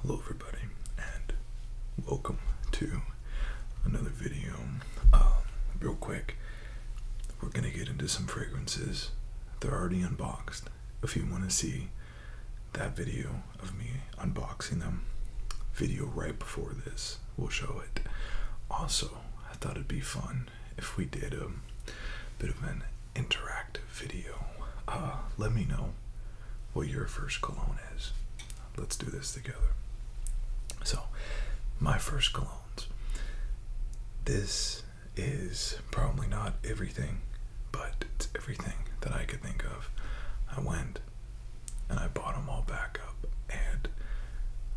Hello everybody and welcome to another video. Um, real quick, we're gonna get into some fragrances. They're already unboxed. If you want to see that video of me unboxing them, video right before this, we'll show it. Also, I thought it'd be fun if we did a um, bit of an interactive video. Uh, let me know what your first cologne is. Let's do this together. So, my first colognes. This is probably not everything, but it's everything that I could think of. I went and I bought them all back up, and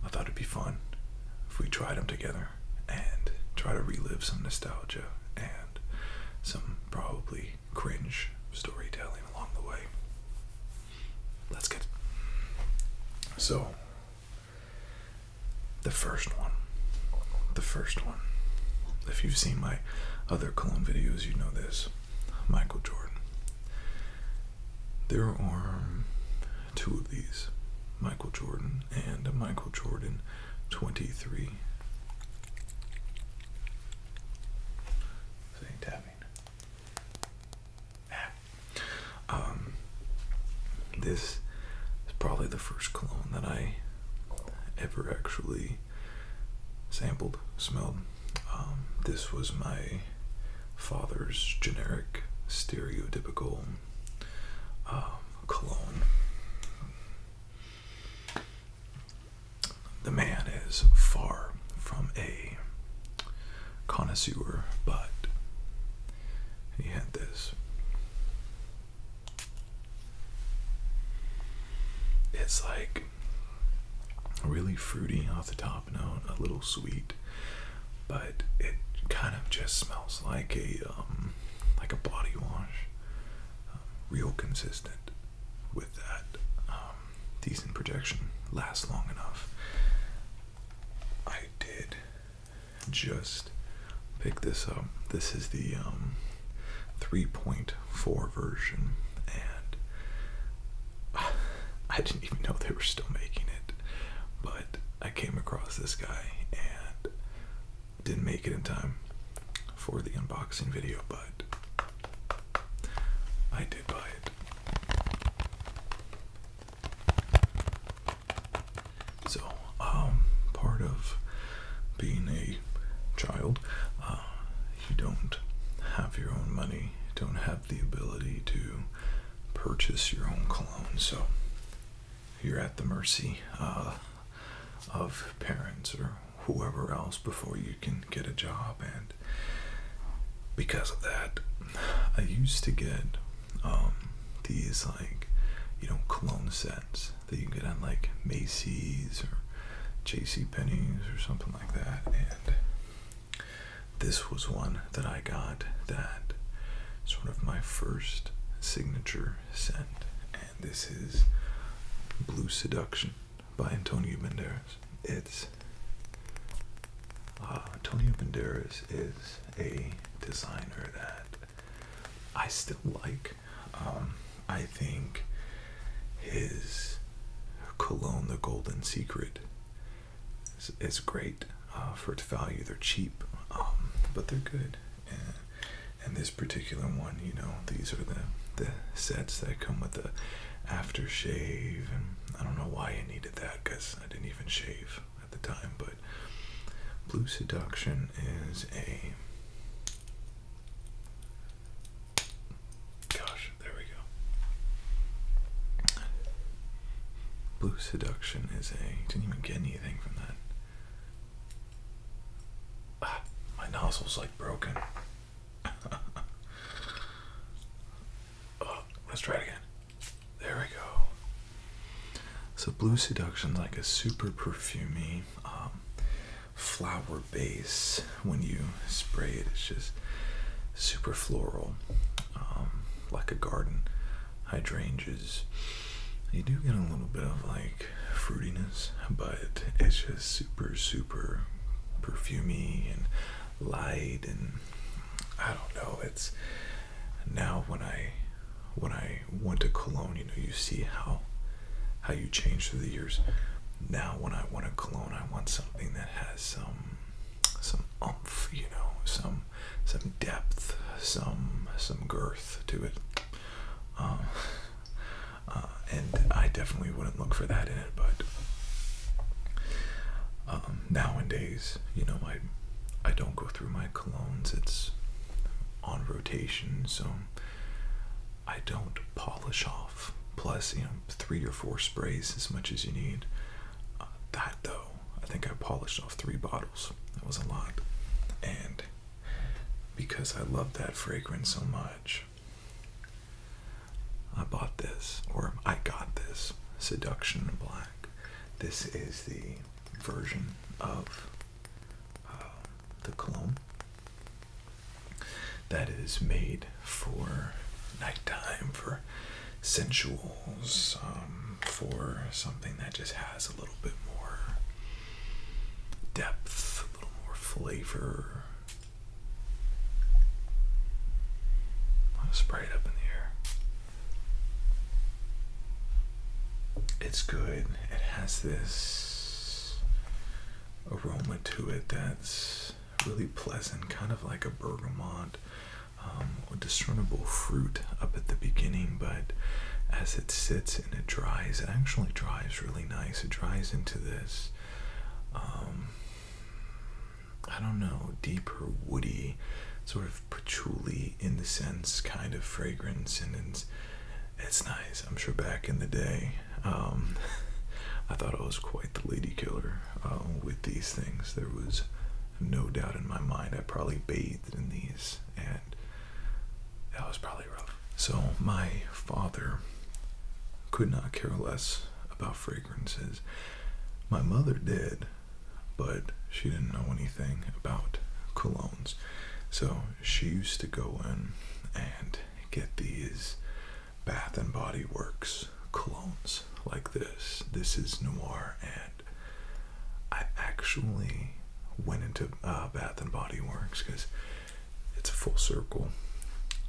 I thought it'd be fun if we tried them together and try to relive some nostalgia and some probably cringe storytelling along the way. That's good. So, the first one. The first one. If you've seen my other cologne videos, you know this. Michael Jordan. There are two of these Michael Jordan and Michael Jordan 23. Saying tapping. Ah. Um, this is probably the first cologne that I ever actually sampled, smelled. Um, this was my father's generic, stereotypical um, cologne. The man is far from a connoisseur, but he had this. It's like really fruity off the top note, a little sweet, but it kind of just smells like a um, like a body wash, um, real consistent with that um, decent projection last long enough. I did just pick this up. This is the um, 3.4 version, and I didn't even know they were still making it, but I came across this guy and didn't make it in time for the unboxing video, but I did buy it. So, um, part of being a child, uh, you don't have your own money, you don't have the ability to purchase your own cologne, so you're at the mercy uh, of parents or whoever else before you can get a job and because of that i used to get um, these like you know cologne sets that you can get on like macy's or jc penney's or something like that and this was one that i got that sort of my first signature scent and this is blue seduction by Antonio Banderas. It's uh, Antonio Banderas is a designer that I still like. Um, I think his cologne, the Golden Secret, is, great uh, for its value. They're cheap, um, but they're good and this particular one, you know, these are the the sets that come with the aftershave, and I don't know why I needed that because I didn't even shave at the time. But Blue Seduction is a gosh, there we go. Blue Seduction is a didn't even get anything from that. my nozzle's like broken. Oh, let's try it again. There we go. So Blue Seduction's like a super perfumey um, flower base. When you spray it, it's just super floral, um, like a garden hydrangeas. You do get a little bit of like Fruityness, but it's just super, super perfumey and light and I don't know. It's now when I when I went to cologne, you know, you see how how you change through the years. Now when I want a cologne, I want something that has some some umph, you know, some some depth, some some girth to it. Um, uh, and I definitely wouldn't look for that in it. But um, nowadays, you know, I I don't go through my colognes. It's on rotation, so I don't polish off. Plus, you know, three or four sprays as much as you need. Uh, that though, I think I polished off three bottles. That was a lot, and because I love that fragrance so much, I bought this, or I got this Seduction Black. This is the version of uh, the cologne that is made for nighttime, for sensuals, um, for something that just has a little bit more depth, a little more flavor. I'll spray it up in the It's good. It has this aroma to it that's really pleasant, kind of like a bergamot um, discernible fruit up at the beginning, but as it sits and it dries, it actually dries is really nice. It dries into this, um, I don't know, deeper woody, sort of patchouli incense kind of fragrance, and it's nice. I'm sure back in the day, um, I thought I was quite the lady killer uh, with these things. There was no doubt in my mind. I probably bathed in these, and that was probably so my father could not care less about fragrances. My mother did, but she didn't know anything about colognes. So she used to go in and get these Bath and Body Works colognes like this. This is Noir, and I actually went into uh, Bath and Body Works because it's a full circle.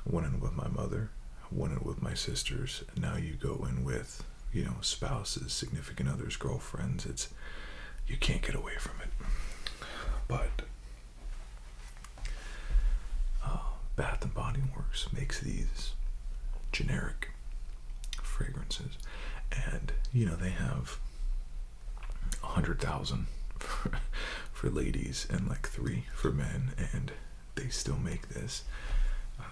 One in with my mother, one in with my sisters, and now you go in with, you know, spouses, significant others, girlfriends. It's you can't get away from it. But uh, Bath and Body Works makes these generic fragrances, and you know they have a hundred thousand for, ladies and like three for men, and they still make this. Uh,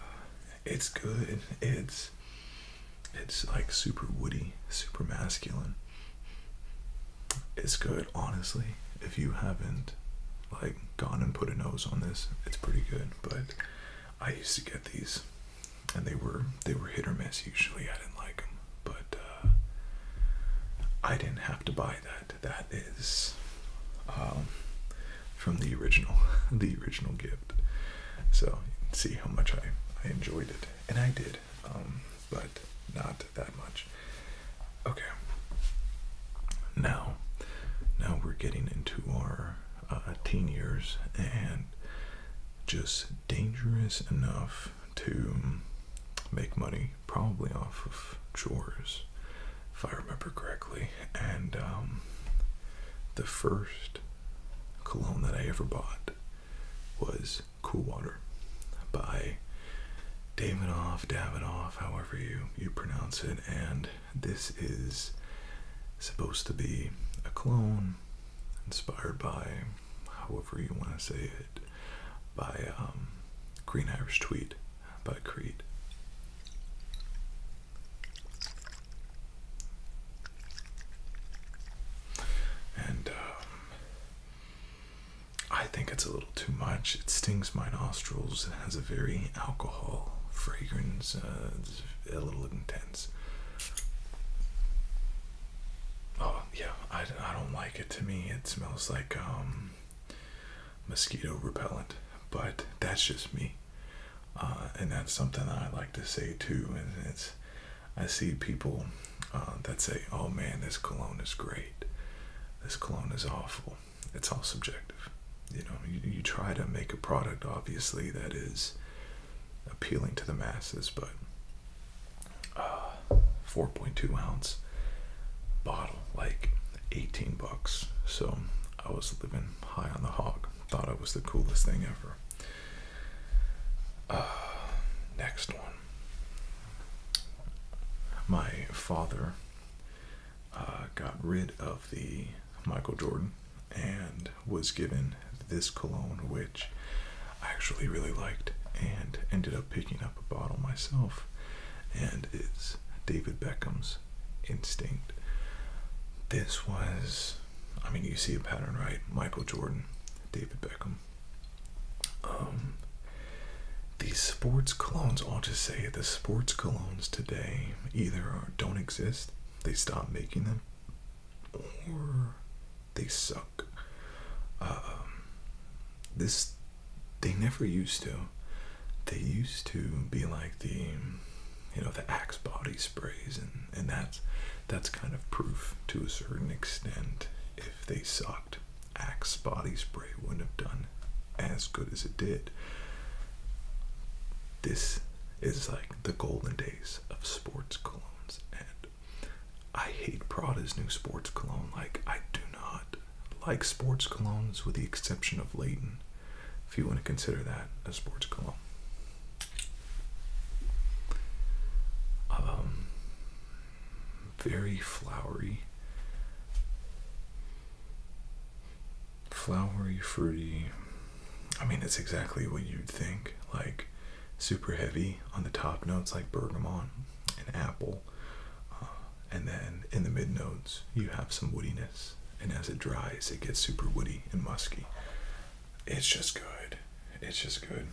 it's good. It's it's like super woody, super masculine. It's good, honestly. If you haven't like gone and put a nose on this, it's pretty good. But I used to get these, and they were they were hit or miss. Usually, I didn't like them but uh, I didn't have to buy that. That is um, from the original, the original gift. So you can see how much I, I enjoyed it, and I did, um, but not that much. Okay. Now, now we're getting into our uh, teen years and just dangerous enough to make money, probably off of chores, if I remember correctly. And um, the first cologne that I ever bought was Cool Water by Davidoff, Davidoff, however you, you pronounce it. And this is supposed to be a clone inspired by however you want to say it, by um, Green Irish Tweed by Creed. And um, I think it's a little too much. It stings my nostrils. It has a very alcohol fragrance, uh, it's a little intense. Oh, yeah, I, I don't like it to me. It smells like um, mosquito repellent, but that's just me. Uh, and that's something that I like to say too. And it's, I see people uh, that say, "Oh man, this cologne is great. This cologne is awful." It's all subjective. You know, you try to make a product obviously that is appealing to the masses, but uh, 4.2 ounce bottle, like 18 bucks. So I was living high on the hog. Thought I was the coolest thing ever. Uh, next one. My father uh, got rid of the Michael Jordan and was given this cologne, which I actually really liked and ended up picking up a bottle myself. And it's David Beckham's Instinct. This was, I mean, you see a pattern, right? Michael Jordan, David Beckham. Um, these sports colognes, I'll just say the sports colognes today either are, don't exist, they stop making them, or they suck. Um, this they never used to. They used to be like the, you know, the Axe body sprays, and and that's that's kind of proof to a certain extent. If they sucked, Axe body spray wouldn't have done as good as it did. This is like the golden days of sports colognes and I hate Prada's new sports cologne. Like, I do not like sports colognes with the exception of Leighton, if you want to consider that a sports cologne. Um, very flowery, flowery, fruity. I mean, it's exactly what you'd think. Like, super heavy on the top notes, like bergamot and apple, uh, and then in the midnotes you have some woodiness, and as it dries, it gets super woody and musky. It's just good. It's just good.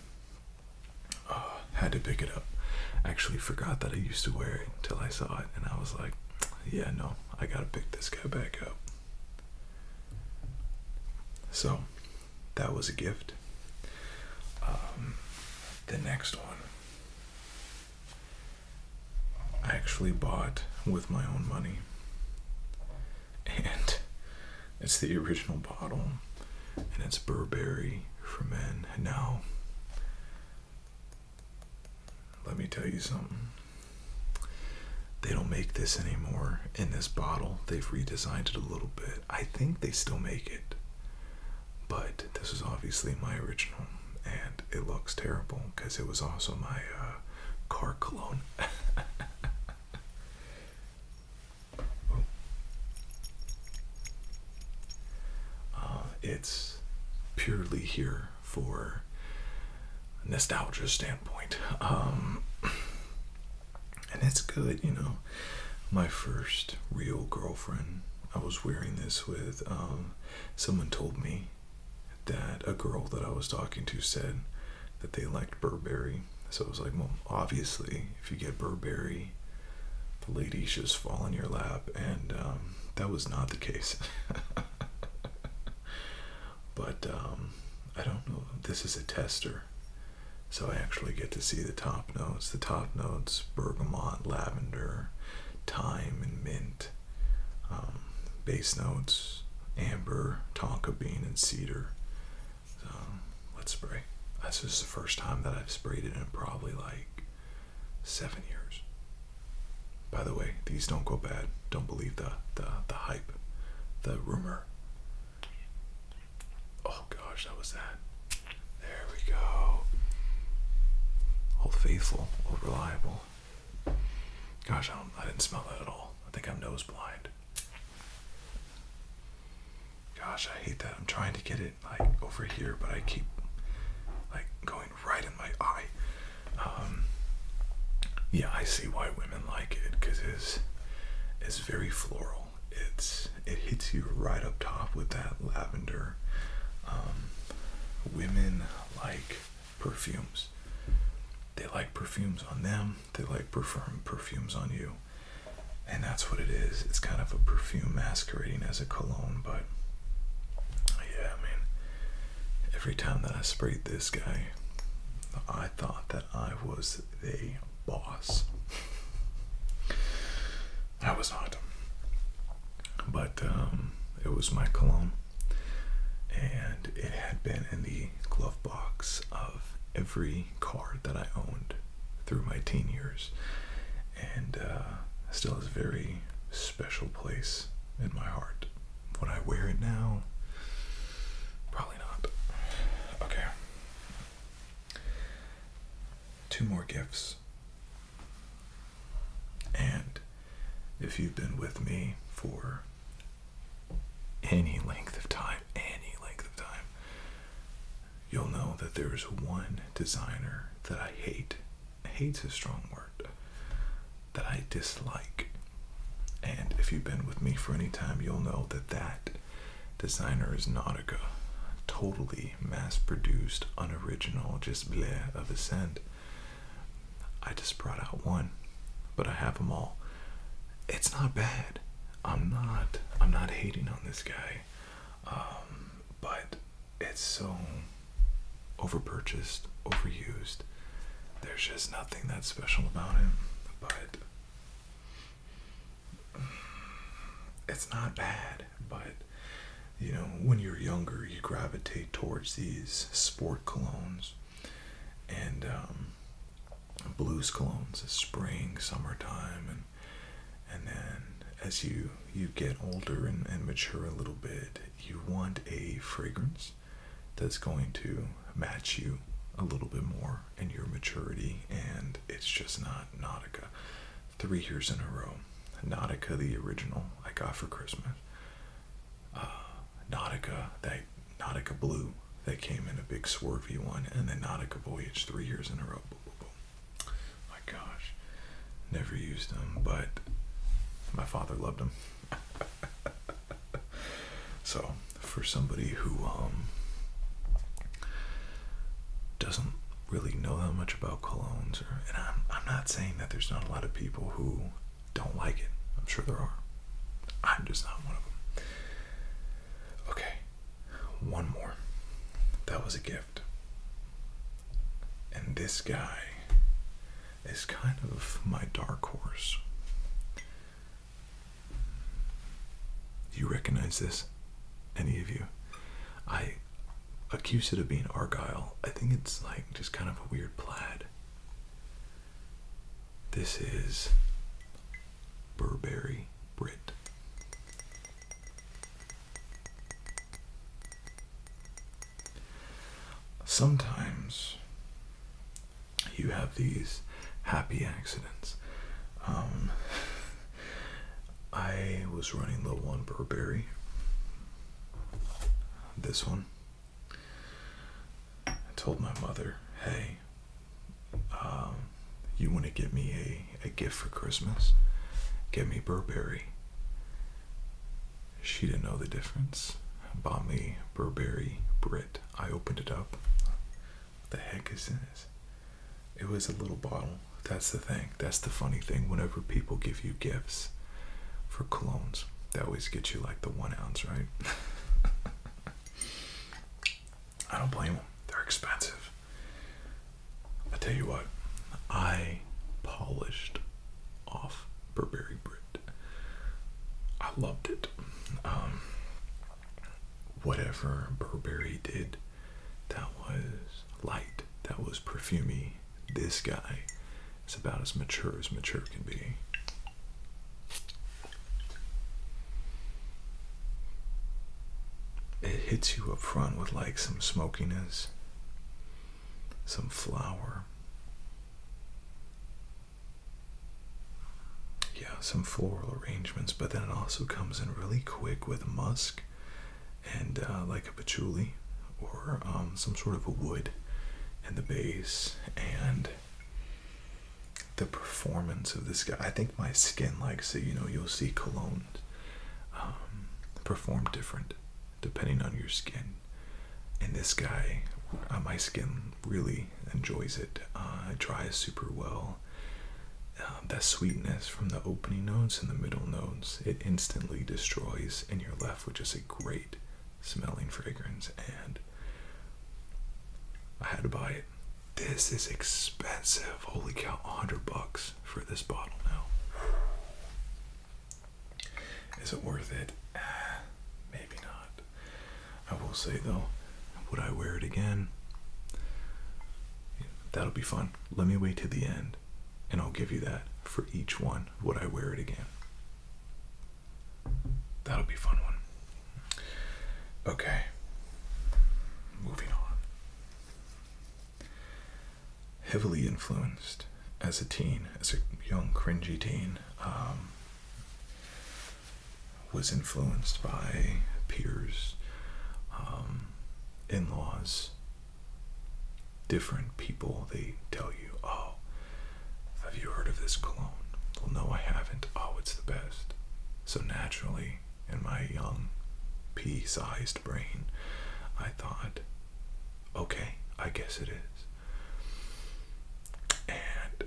Uh, had to pick it up. Actually, forgot that I used to wear it until I saw it, and I was like, yeah, no, I gotta pick this guy back up. So, that was a gift. Um, the next one I actually bought with my own money. And it's the original bottle. And it's Burberry for men. Now, let me tell you something. They don't make this anymore in this bottle. They've redesigned it a little bit. I think they still make it but this is obviously my original and it looks terrible because it was also my uh, car cologne. Oh. Uh, it's purely here for nostalgia standpoint. Um, and it's good, you know my first real girlfriend. I was wearing this with um, someone told me that a girl that I was talking to said that they liked Burberry. So I was like, well, obviously, if you get Burberry, the ladies just fall in your lap. And um, that was not the case. but um, I don't know. This is a tester. So I actually get to see the top notes. The top notes bergamot, lavender, thyme, and mint. Um, base notes amber, tonka bean, and cedar. let's spray. This is the first time that I've sprayed it in probably like seven years. By the way, these don't go bad. Don't believe the, the, the hype, the rumor. Oh gosh, that was that. There we go. Old faithful, old reliable. Gosh, I don't I didn't smell that at all. I think I'm nose blind. Gosh, I hate that. I'm trying to get it like over here, but I keep like going right in my eye. Um yeah, I see why women like it because it's, it's very floral. It's it hits you right up top with that lavender. Um, women like perfumes. They like perfumes on them. They like perfume perfumes on you, and that's what it is. It's kind of a perfume masquerading as a cologne, but yeah, I mean, every time that I sprayed this guy, I thought that I was the boss. That was not. But um, it was my cologne, and it had been in the glove box of every car that I owned through my teen years, and uh, still is very special place in my heart. Would I wear it now? Probably not. Okay. Two more gifts. And if you've been with me for any length of time, any length of time, you'll know that there is one designer that I hate. Hate's is strong word. That I dislike. And if you've been with me for any time, you'll know that that designer is Nautica. Totally mass produced, unoriginal, just bleh of a scent. I just brought out one, but I have them all. It's not bad. I'm not. I'm not hating on this guy, um, but it's so overpurchased, overused. There's just nothing that's special about him. But it's not bad, but you know, when you're younger, you gravitate towards these sport colognes and um, blues colognes, spring, summertime, and and then as you you get older and, and mature a little bit, you want a fragrance that's going to match you a little bit more in your maturity, and it's just not Nautica three years in a row. Nautica, the original, I got for Christmas. Uh, Nautica, that Nautica Blue, that came in a big swervy one, and then Nautica Voyage three years in a row. My gosh, never used them, but my father loved them. so, for somebody who um, doesn't really know that much about colognes, and I'm not saying that there's not a lot of people who don't like it. I'm sure there are. I'm just not one of them. Okay, one more. That was a gift. And this guy is kind of my dark horse. Do You recognize this? Any of you? I Accused of being argyle. I think it's like just kind of a weird plaid. This is Burberry Brit. Sometimes you have these happy accidents. Um, I was running low on Burberry. This one. I told my mother, hey, um, you want to get me a, a gift for Christmas? Get me Burberry. She didn't know the difference. Bought me Burberry Brit. I opened it up. What the heck is this? It was a little bottle. That's the thing. That's the funny thing. Whenever people give you gifts for colognes, they always get you like the one ounce, right? I don't blame them. They're expensive. I tell you what, I polished off Burberry Brit. I loved it. Um, whatever Burberry did that was light, that was perfumy. This guy is about as mature as mature can be. It hits you up front with like some smokiness, some flower. Yeah, some floral arrangements, but then it also comes in really quick with musk and uh, like a patchouli or um, some sort of a wood and the base and the performance of this guy i think my skin likes it you know you'll see colognes um, perform different depending on your skin and this guy uh, my skin really enjoys it uh, it dries super well uh, that sweetness from the opening notes and the middle notes, it instantly destroys, and you're left with just a great smelling fragrance. And I had to buy it. This is expensive. Holy cow, 100 bucks for this bottle now. Is it worth it? Eh, maybe not. I will say though, would I wear it again? That'll be fun. Let me wait to the end and I'll give you that for each one. Would I wear it again? That'll be fun one. Okay. Moving on. Heavily influenced as a teen, as a young, cringy teen, um, was influenced by peers, um, in laws, different people they tell you, oh, have you heard of this cologne? Well, no, I haven't. Oh, it's the best. So naturally, in my young, pea sized brain, I thought, okay, I guess it is. And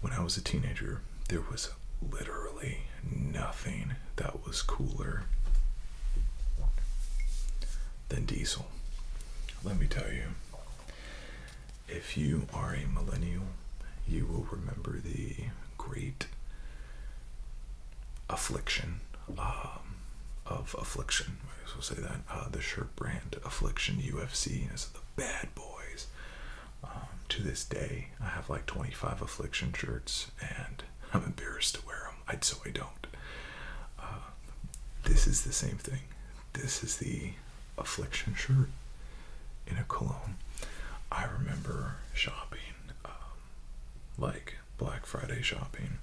when I was a teenager, there was literally nothing that was cooler than diesel. Let me tell you, if you are a millennial, you will remember the great affliction um, of affliction. I guess we'll say that uh, the shirt brand affliction UFC is the bad boys. Um, to this day, I have like 25 affliction shirts, and I'm embarrassed to wear them, I, so I don't. Uh, this is the same thing. This is the affliction shirt in a cologne. I remember shopping, um, like Black Friday shopping,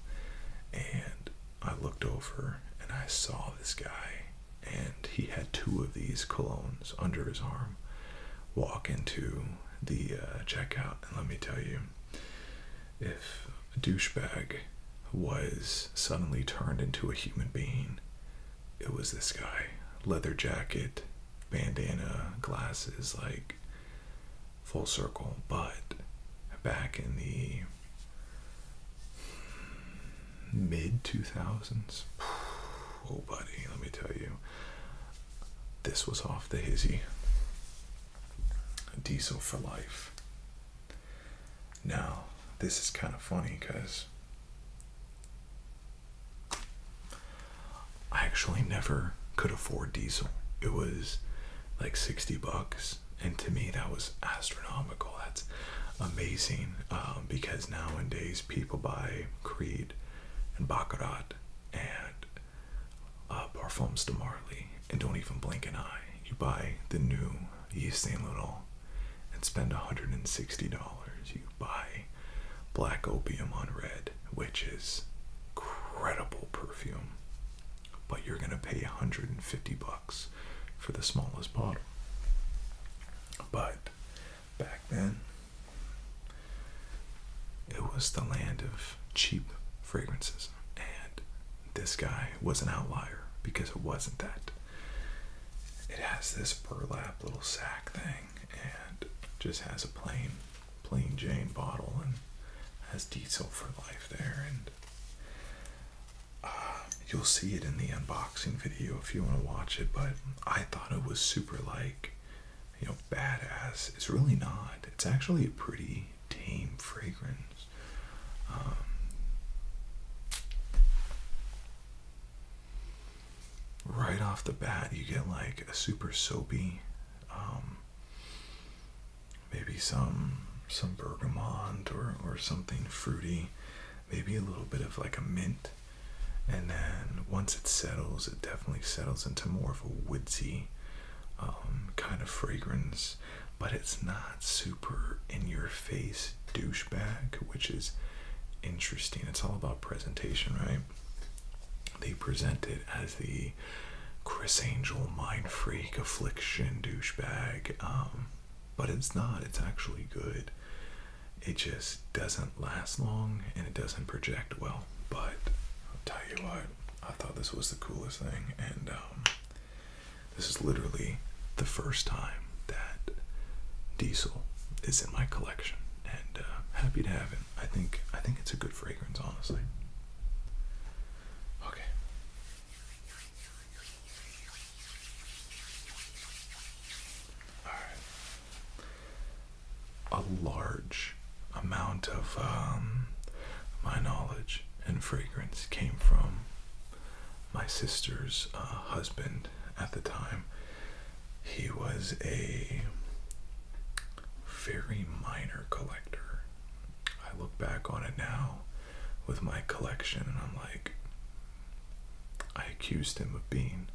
and I looked over and I saw this guy, and he had two of these colognes under his arm. Walk into the uh, checkout, and let me tell you, if a douchebag was suddenly turned into a human being, it was this guy. Leather jacket, bandana, glasses, like full circle. But back in the mid 2000s, oh, buddy, let me tell you, this was off the hizzy. Diesel for life. Now, this is kind of funny because I actually never could afford diesel. It was like 60 bucks, and to me, that was astronomical. That's amazing um, because nowadays people buy Creed and Baccarat and uh, Parfums de Marly, and don't even blink an eye. You buy the new Yves Saint Laurent and spend $160. You buy Black Opium on Red, which is incredible perfume, but you're going to pay 150 bucks for the smallest bottle. But back then, it was the land of cheap fragrances, and this guy was an outlier because it wasn't that. It has this burlap little sack thing and just has a plain, plain Jane bottle and has diesel for life there. And uh, you'll see it in the unboxing video if you want to watch it, but I thought it was super like you know, badass. It's really not. It's actually a pretty tame fragrance. Um, right off the bat, you get like a super soapy, um, maybe some some bergamot or or something fruity, maybe a little bit of like a mint. And then once it settles, it definitely settles into more of a woodsy um, kind of fragrance, but it's not super in your face douchebag, which is interesting. It's all about presentation, right? They present it as the Chris Angel mind freak affliction douchebag, um, but it's not. It's actually good. It just doesn't last long and it doesn't project well. But I'll tell you what, I thought this was the coolest thing, and um, this is literally the first time that Diesel is in my collection, and uh, happy to have it. I think I think it's a good fragrance, honestly. Okay. All right a large amount of um, my knowledge and fragrance came from my sister's uh, husband at the time. He was a very minor collector. I look back on it now with my collection and I'm like, I accused him of being,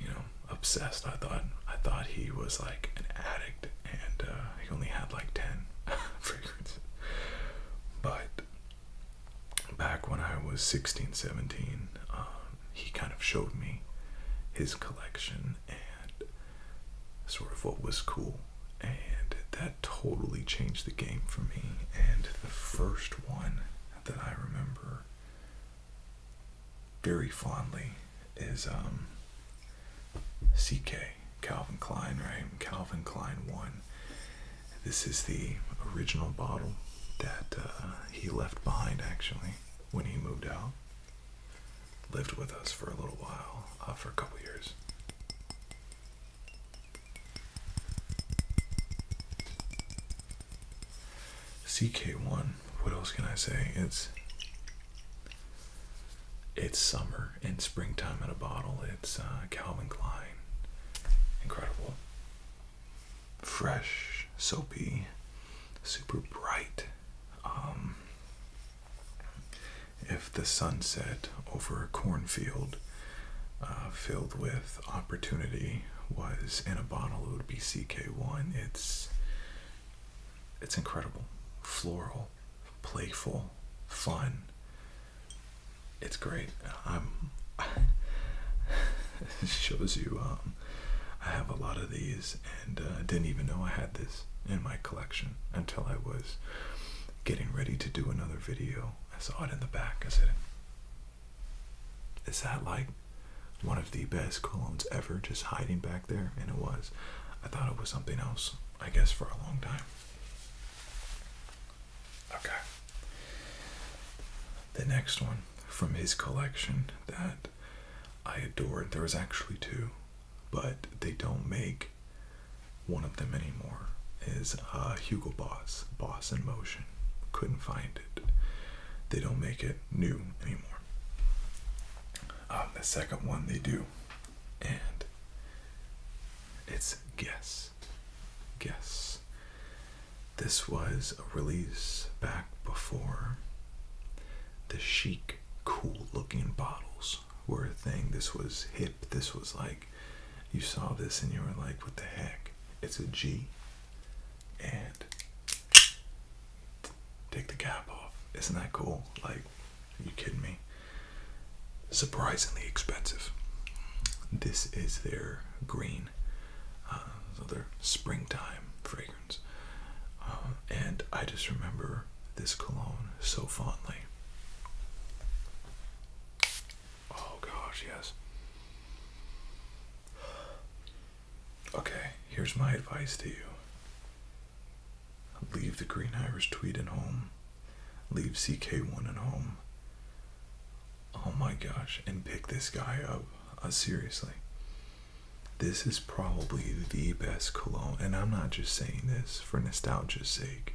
you know, obsessed. I thought I thought he was like an addict and uh, he only had like ten fragrances. But back when I was 16, 17, um, he kind of showed me his collection and sort of what was cool. And that totally changed the game for me. And the first one that I remember very fondly is um, CK, Calvin Klein, right? Calvin Klein 1. This is the original bottle that uh, he left behind actually when he moved out. Lived with us for a little while, uh, for a couple years. CK1, what else can I say? It's it's summer and springtime in a bottle. It's uh, Calvin Klein. Incredible. Fresh, soapy, super bright. Um, if the sunset over a cornfield uh, filled with opportunity was in a bottle, it would be CK1. It's it's incredible. Floral, playful, fun. It's great. I'm. it shows you. Um, I have a lot of these, and uh, I didn't even know I had this in my collection until I was getting ready to do another video. I saw it in the back. I said, "Is that like one of the best colognes ever, just hiding back there, and it was. I thought it was something else, I guess, for a long time. Okay. The next one from his collection that I adored. There was actually two, but they don't make one of them anymore. Is uh, Hugo Boss, Boss in Motion. Couldn't find it. They don't make it new anymore. Um, the second one they do, and it's Guess. Guess. This was a release back before the chic, cool looking bottles were a thing. This was hip. This was like, you saw this and you were like, what the heck? It's a G. And take the cap off. Isn't that cool? Like, are you kidding me? Surprisingly expensive. This is their green, uh, springtime fragrance. Uh, and I just remember this cologne so fondly. Oh gosh, yes. Okay, here's my advice to you. Leave the Green Irish Tweed at home. Leave CK1 at home. Oh my gosh, and pick this guy up. Uh, seriously. This is probably the best cologne, and I'm not just saying this for nostalgia's sake.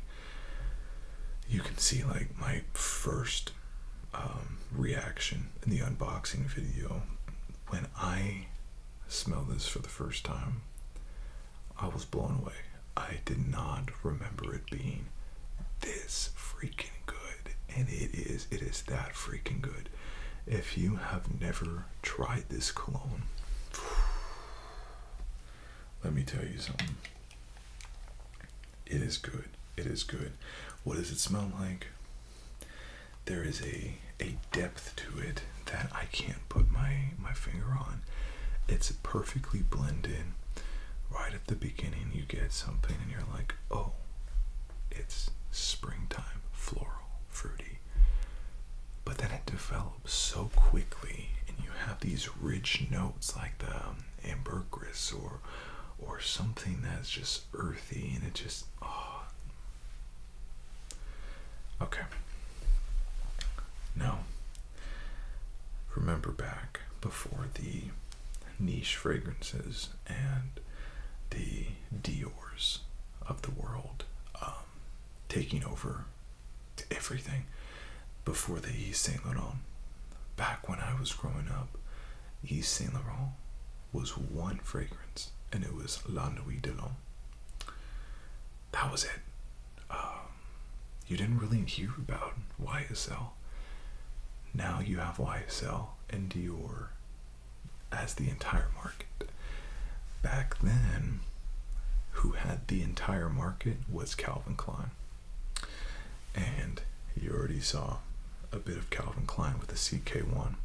You can see like my first um, reaction in the unboxing video when I smell this for the first time, I was blown away. I did not remember it being this freaking good. And it is, it is that freaking good. If you have never tried this cologne, let me tell you something. It is good. It is good. What does it smell like? there is a a depth to it that I can't put my my finger on. It's perfectly blended. Right at the beginning, you get something, and you're like, oh, it's springtime, floral, fruity. But then it develops so quickly, and you have these rich notes like the um, ambergris or or something that's just earthy, and it just oh, Okay. Now, remember back before the niche fragrances and the Dior's of the world um, taking over everything before the Yves Saint Laurent. Back when I was growing up, Yves Saint Laurent was one fragrance and it was La Nuit de l'Homme that was it. Um, you didn't really hear about YSL. Now you have YSL and Dior as the entire market. Back then, who had the entire market was Calvin Klein. And you already saw a bit of Calvin Klein with the CK1.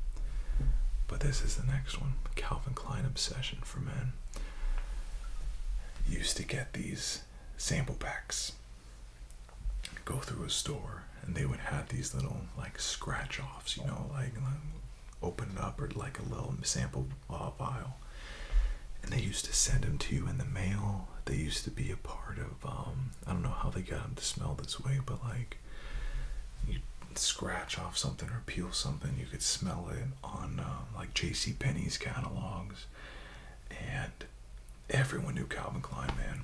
But this is the next one Calvin Klein obsession for men. Used to get these sample packs. Go through a store and they would have these little like scratch offs, you know, like, like open it up or like a little sample uh, vial. And they used to send them to you in the mail. They used to be a part of, um, I don't know how they got them to smell this way, but like you scratch off something or peel something, you could smell it on um, like J.C. Penney's catalogs, and everyone knew Calvin Klein, man.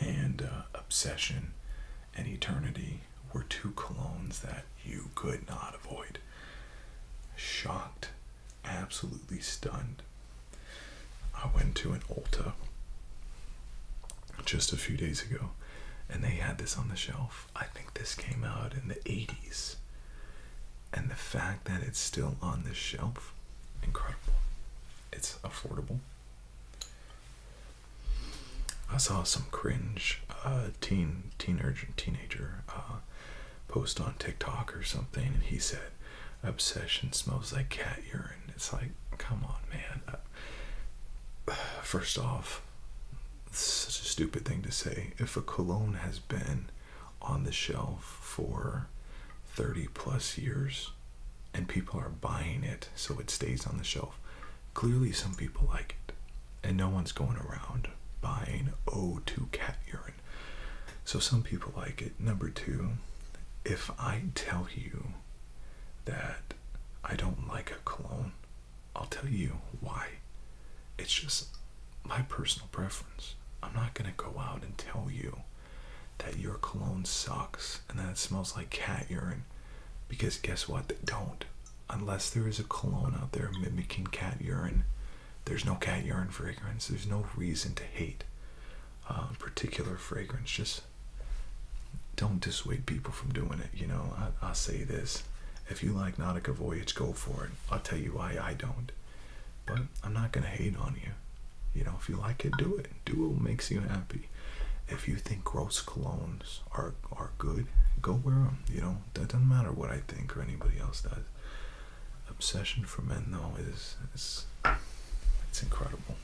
And uh, Obsession and Eternity were two colognes that you could not avoid. Shocked, absolutely stunned. I went to an Ulta just a few days ago and they had this on the shelf. I think this came out in the 80s. And the fact that it's still on the shelf, incredible. It's affordable. I saw some cringe teen, uh, teen, teenager, teenager uh, post on TikTok or something, and he said, "Obsession smells like cat urine." It's like, come on, man. Uh, first off, it's such a stupid thing to say. If a cologne has been on the shelf for 30 plus years and people are buying it so it stays on the shelf, clearly some people like it. And no one's going around buying O2 cat urine. So some people like it. Number two, if I tell you that I don't like a cologne, I'll tell you why. It's just my personal preference. I'm not gonna go out and tell you that your cologne sucks and that it smells like cat urine because guess what? They don't. Unless there is a cologne out there mimicking cat urine, there's no cat urine fragrance. There's no reason to hate a uh, particular fragrance. Just don't dissuade people from doing it. You know, I, say this if you like Nautica Voyage, go for it. I'll tell you why I don't. But I'm not going to hate on you. You know, if you like it, do it. Do what makes you happy. If you think gross colognes are, are good, go wear them. You know, that doesn't matter what I think or anybody else does. Obsession for men, though, is, is it's incredible.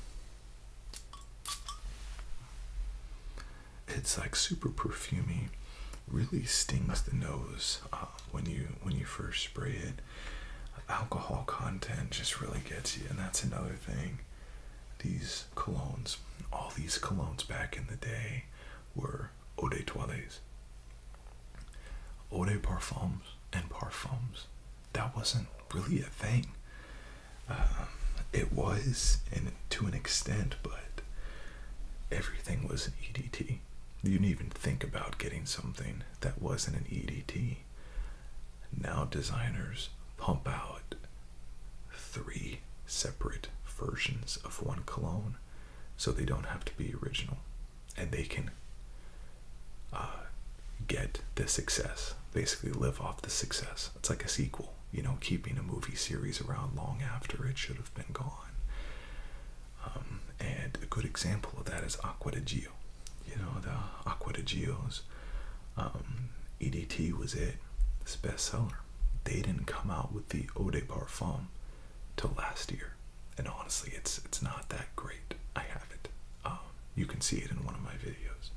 It's like super perfumy. Really stings the nose uh, when you when you first spray it. Alcohol content just really gets you, and that's another thing. These colognes, all these colognes back in the day, were eau de toilettes, eau de parfums, and parfums. That wasn't really a thing. Um, it was, and to an extent, but everything was an EDT. You didn't even think about getting something that wasn't an EDT. Now designers pump out three separate versions of one cologne so they don't have to be original and they can uh, get the success, basically live off the success. It's like a sequel, you know, keeping a movie series around long after it should have been gone. Um, and a good example of that is Aqua di Gio. You know, the Aqua di Gio's um, EDT was it, this bestseller. They didn't come out with the Eau de Parfum till last year, and honestly, it's it's not that great. I have it. Um, you can see it in one of my videos.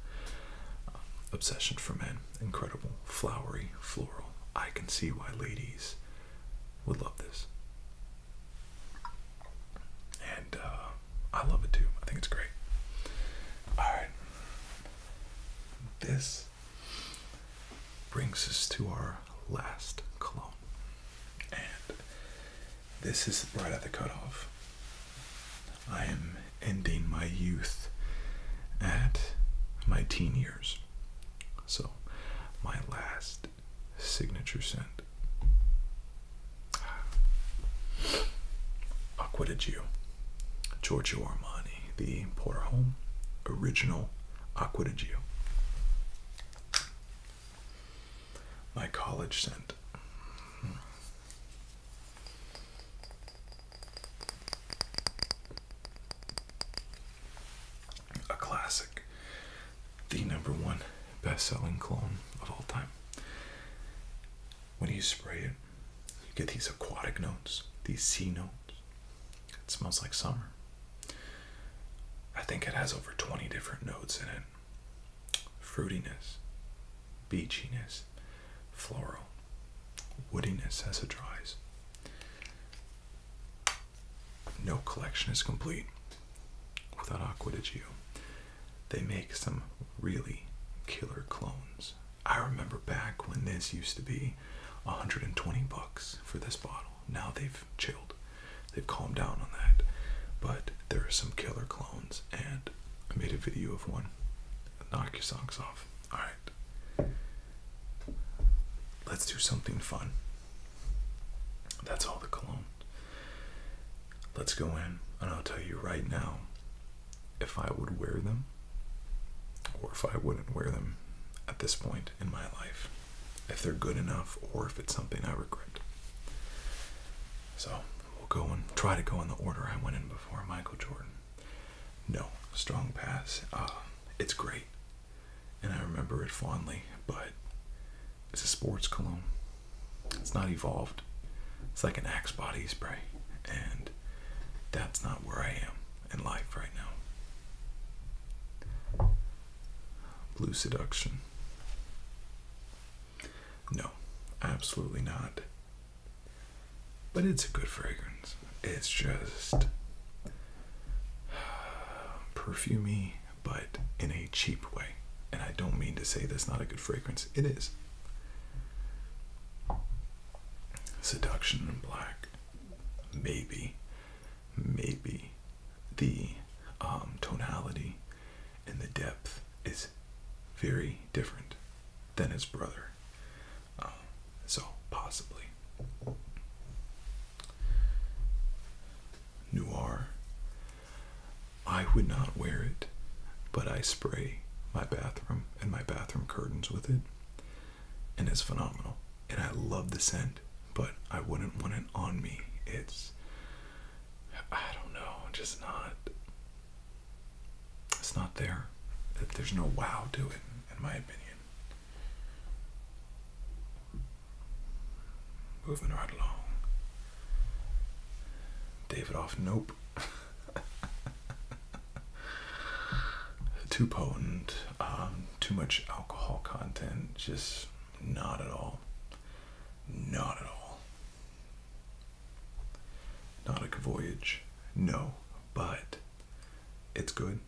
Obsession for Men incredible, flowery, floral. I can see why ladies would love this. And uh, I love it too. I think it's great. Alright. This brings us to our last cologne. And this is right at the cutoff. I am ending my youth at my teen years. So, my last signature sent. Acqua Giorgio Armani, the Home, original Acqua My college sent. Hmm. A classic, the number one best selling clone of all time. When you spray it, you get these aquatic notes, these sea notes. It smells like summer. I think it has over 20 different notes in it fruitiness, beachiness, floral woodiness as it dries. No collection is complete without Aqua di They make some really killer clones. I remember back when this used to be 120 bucks for this bottle. Now they've chilled. They've calmed down on that. But there are some killer clones and I made a video of one. Knock your socks off. All right. Let's do something fun. That's all the cologne. Let's go in, and I'll tell you right now if I would wear them or if I wouldn't wear them at this point in my life. If they're good enough or if it's something I regret. So we'll go and try to go in the order I went in before Michael Jordan. No, strong pass. Um, it's great, and I remember it fondly. But it's a sports cologne. It's not evolved. It's like an Axe body spray, and that's not where I am in life right now. Blue Seduction. No, absolutely not. But it's a good fragrance. It's just perfumey, but in a cheap way. And I don't mean to say that's not a good fragrance. It is. Seduction in Black. Maybe. Maybe. The um, tonality and the depth is very different than his brother. Um, so, possibly. Noir. I would not wear it, but I spray my bathroom and my bathroom curtains with it, and it's phenomenal. And I love the scent, but I wouldn't want it on me. It's, I don't know, just not it's not there. There's no wow to it, in my opinion. Moving right along. David off, nope. too potent, um, too much alcohol content, just not at all. Not at all. Not a voyage, no, but it's good.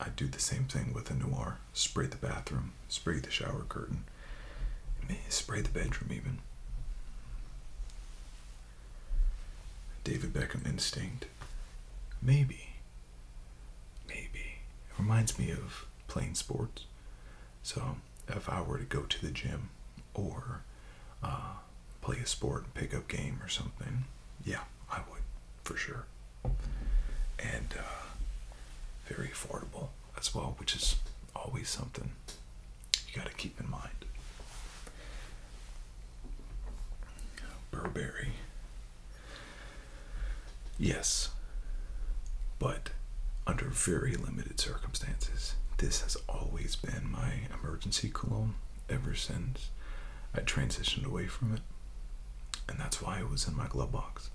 I do the same thing with a noir. Spray the bathroom, spray the shower curtain, spray the bedroom even. David Beckham instinct. Maybe. Maybe. It reminds me of playing sports. So if I were to go to the gym or uh, play a sport pick up game or something, yeah, I would for sure. And uh, very affordable as well, which is always something you got to keep in mind. Burberry. Yes, but under very limited circumstances. This has always been my emergency cologne ever since I transitioned away from it. And that's why it was in my glove box.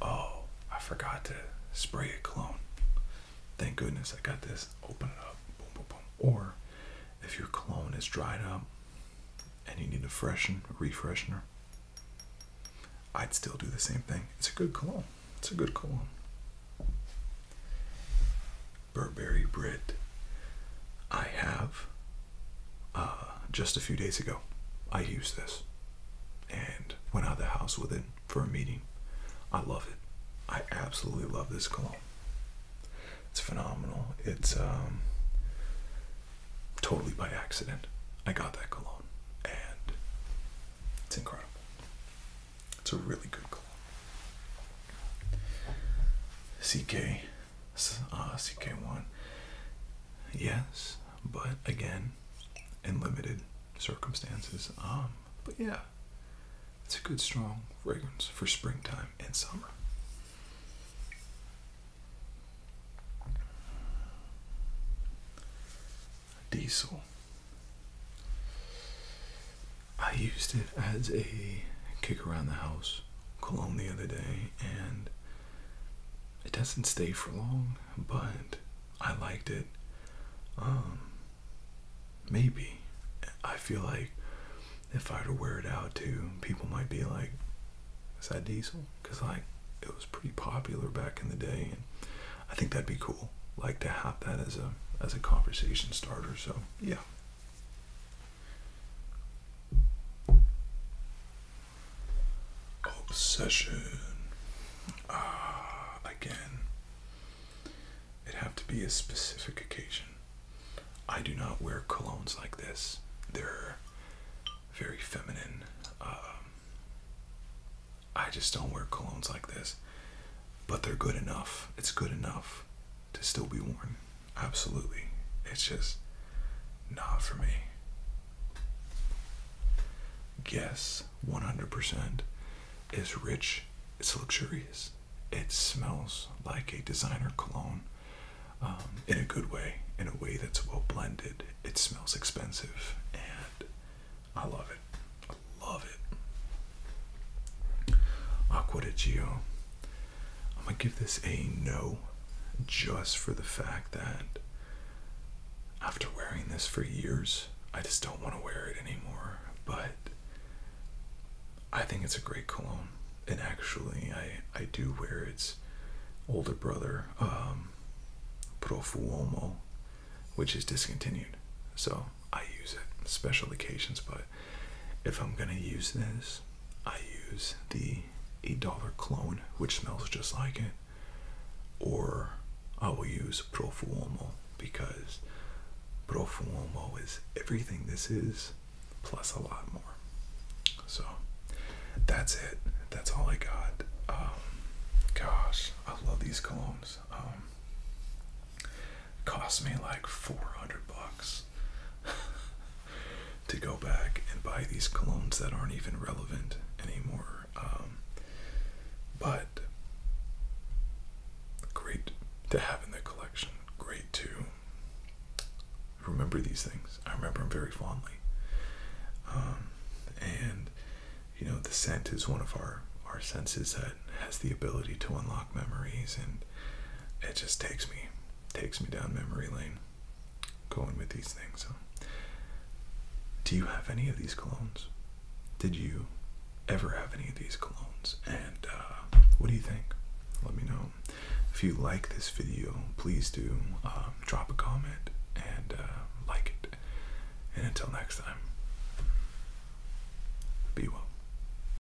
Oh, I forgot to spray a cologne. Thank goodness I got this. Open it up. Boom, boom, boom. Or if your cologne is dried up and you need a freshen, a refresher, I'd still do the same thing. It's a good cologne. It's a good cologne. Burberry bread. I have uh, just a few days ago. I used this and went out of the house with it for a meeting. I love it. I absolutely love this cologne. It's phenomenal. It's um, totally by accident. I got that cologne and it's incredible. It's a really good cologne. CK, uh, CK1. Yes, but again, in limited circumstances. Um, but yeah, it's a good strong fragrance for springtime and summer. Diesel. I used it as a kick around the house cologne the other day, and it doesn't stay for long, but I liked it. Um, maybe I feel like if I were to wear it out too, people might be like, "Is that diesel?" Because like it was pretty popular back in the day, and I think that'd be cool. Like to have that as a as a conversation starter. So yeah, Obsession. Ah, again. It'd have to be a specific occasion. I do not wear colognes like this. They're very feminine. Um, I just don't wear colognes like this. But they're good enough. It's good enough to still be worn. Absolutely. It's just not for me. Yes, 100% is rich, it's luxurious, it smells like a designer cologne um, in a good way, in a way that's well blended. It smells expensive, and I love it. I love it. Aqua I'm gonna give this a no just for the fact that after wearing this for years, I just don't want to wear it anymore. But I think it's a great cologne. And actually, I, I do wear its older brother, um, Profuomo, which is discontinued. So I use it, special occasions, but if I'm gonna use this, I use the $8 clone, which smells just like it, or I will use Profuomo because Profuomo is everything this is, plus a lot more. So that's it. That's all I got. Um, gosh, I love these colognes. Um, cost me like 400 bucks to go back and buy these colognes that aren't even relevant anymore. Um, but great to have in the collection. Great to remember these things. I remember them very fondly. Um, and you know, the scent is one of our our senses that has the ability to unlock memories and it just takes me takes me down memory lane going with these things. So do you have any of these colognes? Did you ever have any of these colognes? And uh, what do you think? Let me know. If you like this video, please do um, drop a comment and uh, like it. And until next time, be well.